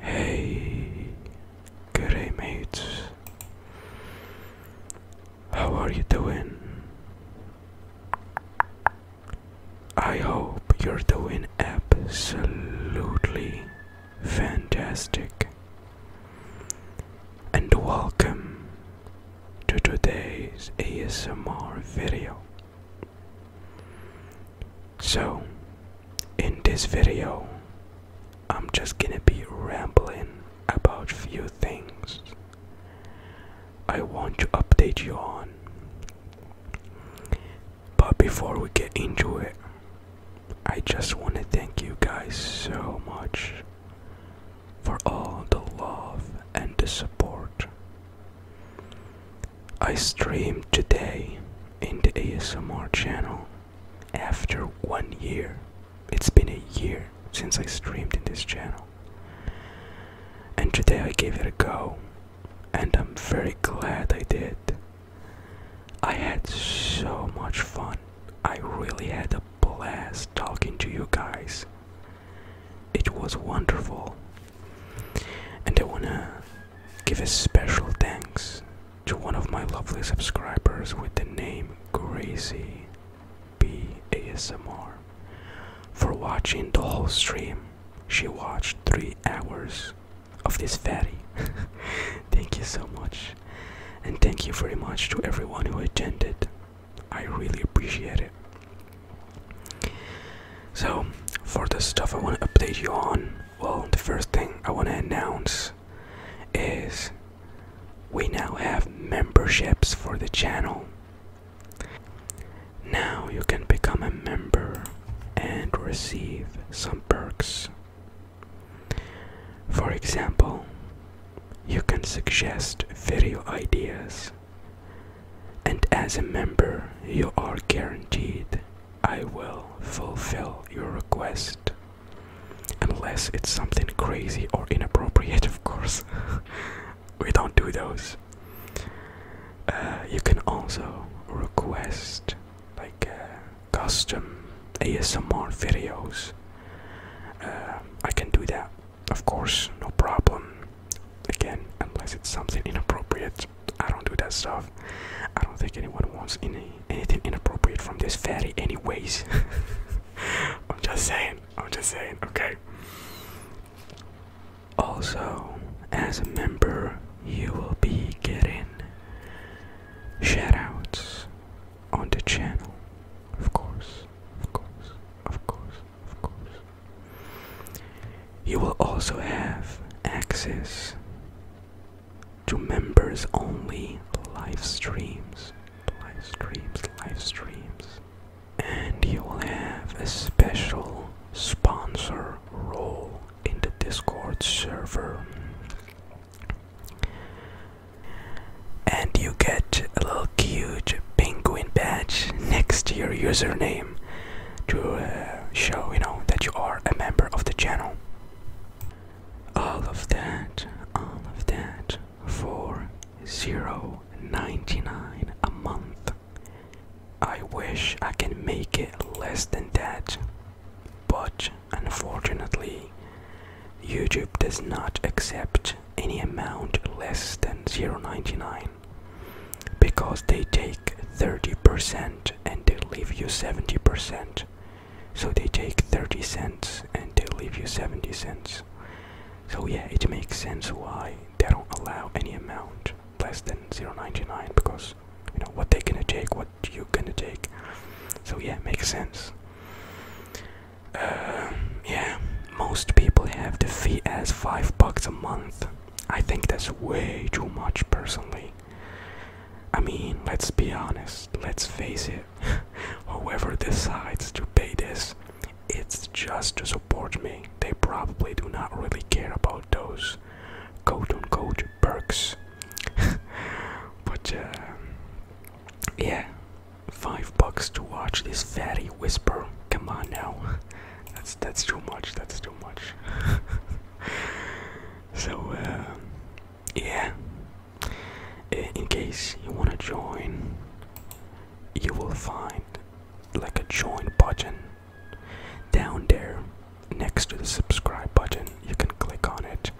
Hey, good mates. How are you doing? I hope you're doing absolutely fantastic. And welcome to today's ASMR video. So, in this video, I'm just gonna be rambling about few things I want to update you on. But before we get into it, I just want to thank you guys so much for all the love and the support I streamed today in the ASMR channel after one year. It's been a year since I streamed in this channel. And today I gave it a go, and I'm very glad I did. I had so much fun. I really had a blast talking to you guys. It was wonderful and I wanna give a special thanks to one of my lovely subscribers with the name Gracie B ASMR for watching the whole stream. She watched three hours of this fatty. thank you so much. And thank you very much to everyone who attended. I really appreciate it. So, for the stuff I want to update you on, well, the first thing I want to announce is we now have memberships for the channel. Now you can become a member and receive some perks. For example, you can suggest video ideas, and as a member, you are guaranteed I will fulfill your request. Unless it's something crazy or inappropriate, of course. we don't do those. Uh, you can also request like uh, custom ASMR videos. Uh, I can do that, of course, no problem. Again, unless it's something inappropriate. I don't do that stuff. I don't think anyone wants any anything inappropriate from this fatty, anyways. I'm just saying. I'm just saying. Okay. Also, as a member, you will be getting shoutouts on the channel, of course, of course, of course, of course. You will also have access to members only live streams, live streams, live streams, and you will have a special sponsor role in the Discord server. And you get a little cute penguin badge next to your username to uh, show you know that you are a member of the channel all of that all of that for 0.99 a month i wish i can make it less than that but unfortunately youtube does not accept any amount less than 0.99 because they take 30% and they leave you 70%. So they take 30 cents and they leave you 70 cents. So yeah, it makes sense why they don't allow any amount less than 0.99 because you know what they're gonna take, what you're gonna take. So yeah, makes sense. Uh, yeah, most people have the fee as five bucks a month. I think that's way too much personally. I mean, let's be honest, let's face it. Whoever decides to pay this, it's just to support me. They probably do not really care about those quote unquote perks. but uh, yeah, five bucks to watch this fatty whisper. Come on now. That's that's too much. That's too much. so uh, yeah, in case you wanna join, you will find like a join button down there next to the subscribe button. You can click on it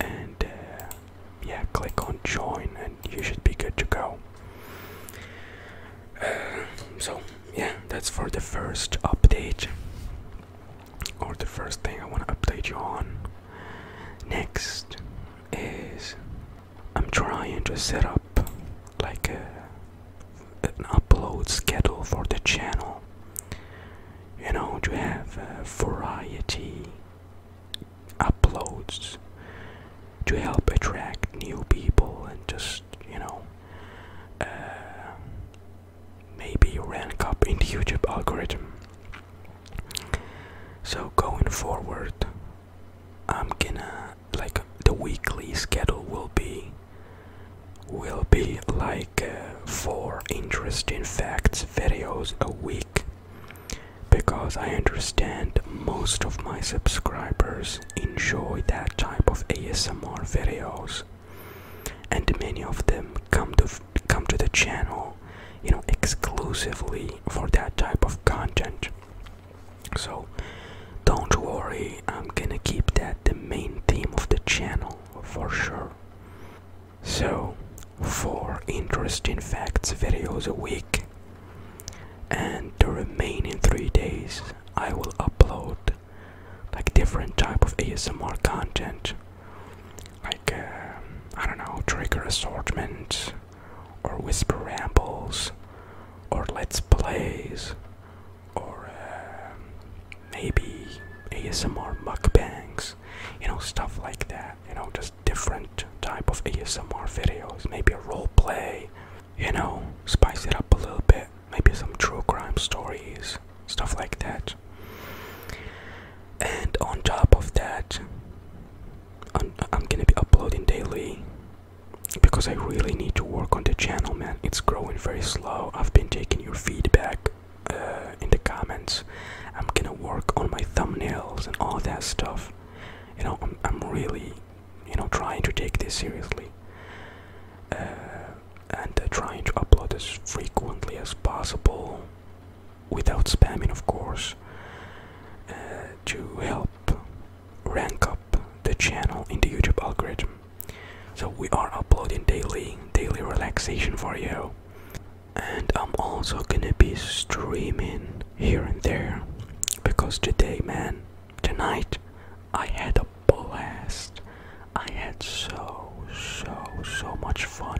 and uh, yeah, click on join, and you should be good to go so yeah, that's for the first update or the first thing I want to update you on. Next is I'm trying to set up like an upload schedule for the channel. You know, to have uh, variety uploads to help attract new people and just you know uh, maybe rank up in the YouTube algorithm. So going forward, I'm gonna like the weekly schedule will be will be like uh, four interesting facts videos a week because I understand most of my subscribers enjoy that type of ASMR videos and many of them come to come to the channel you know exclusively for that type of content so don't worry i'm gonna keep that the main theme of the channel for sure so four interesting facts videos a week and the remaining three days I will upload like different type of ASMR content, like uh, I don't know trigger assortment, or whisper rambles, or let's plays, or uh, maybe ASMR mukbangs, you know stuff like that. You know just different type of ASMR videos, maybe a role play you know, spice it up a little bit. Maybe some true crime stories, stuff like that. And on top of that, I'm, gonna be uploading daily because I really need to work on the channel, man. It's growing very slow. I've been taking your feedback uh, in the comments. I'm gonna work on my thumbnails and all that stuff. You know, I'm really you know trying to take this seriously uh, and uh, trying to upload as frequently as possible without spamming of course uh, to help rank up the channel in the youtube algorithm so we are uploading daily daily relaxation for you and i'm also gonna be streaming here and there because today, man, tonight I had a blast. I had so, so, so much fun.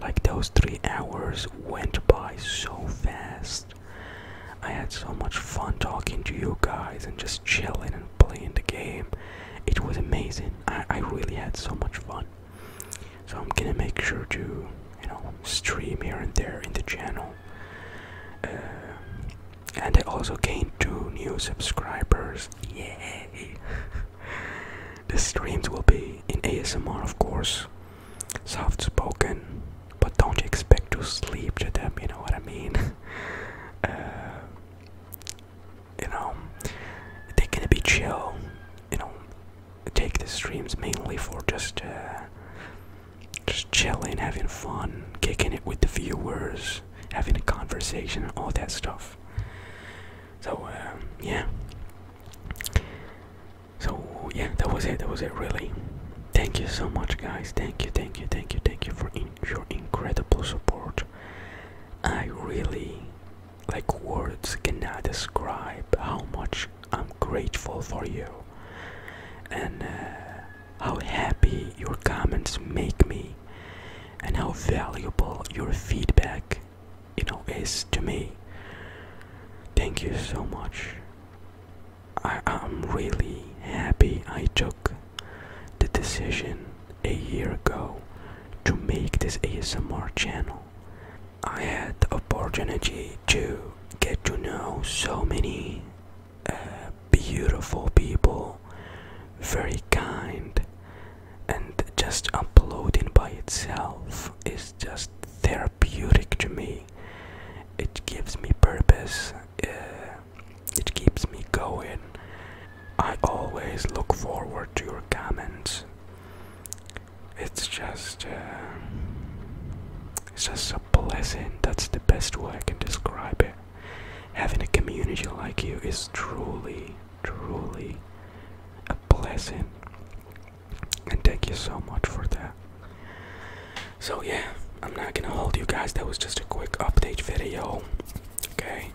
Like those three hours went by so fast. I had so much fun talking to you guys and just chilling and playing the game. It was amazing. I, I really had so much fun. So I'm gonna make sure to, you know, stream here and there in the channel. Uh, and I also gained two new subscribers. Yay! the streams will be in ASMR, of course, soft spoken, but don't expect to sleep to them, you know what I mean? Uh, you know, they're gonna be chill, you know, take the streams mainly for just uh, just chilling, having fun, kicking it with the viewers, having a conversation, all that stuff. So uh, yeah. So yeah, that was it. That was it. Really. Thank you so much, guys. Thank you, thank you, thank you, thank you for your incredible support. I really, like words cannot describe how much I'm grateful for you and uh, how happy your comments make me and how valuable your feedback you know is to me thank you so much i'm really happy i took the decision a year ago to make this asmr channel I had the opportunity to get to know so many uh, beautiful people, very kind, and just uploading by itself is just therapeutic to me. It gives me purpose, uh, it keeps me going. I always look forward to your comments it's just uh, it's just so pleasant that's the best way i can describe it having a community like you is truly truly a blessing and thank you so much for that so yeah i'm not gonna hold you guys that was just a quick update video okay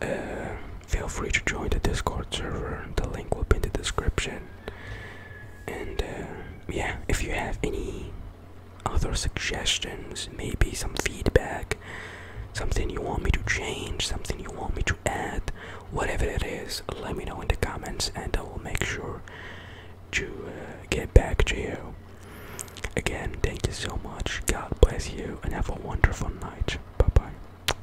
uh, feel free to join the discord server the link will be in the description and uh, yeah, if you have any other suggestions, maybe some feedback, something you want me to change, something you want me to add, whatever it is, let me know in the comments and I will make sure to uh, get back to you. Again, thank you so much. God bless you and have a wonderful night. Bye bye.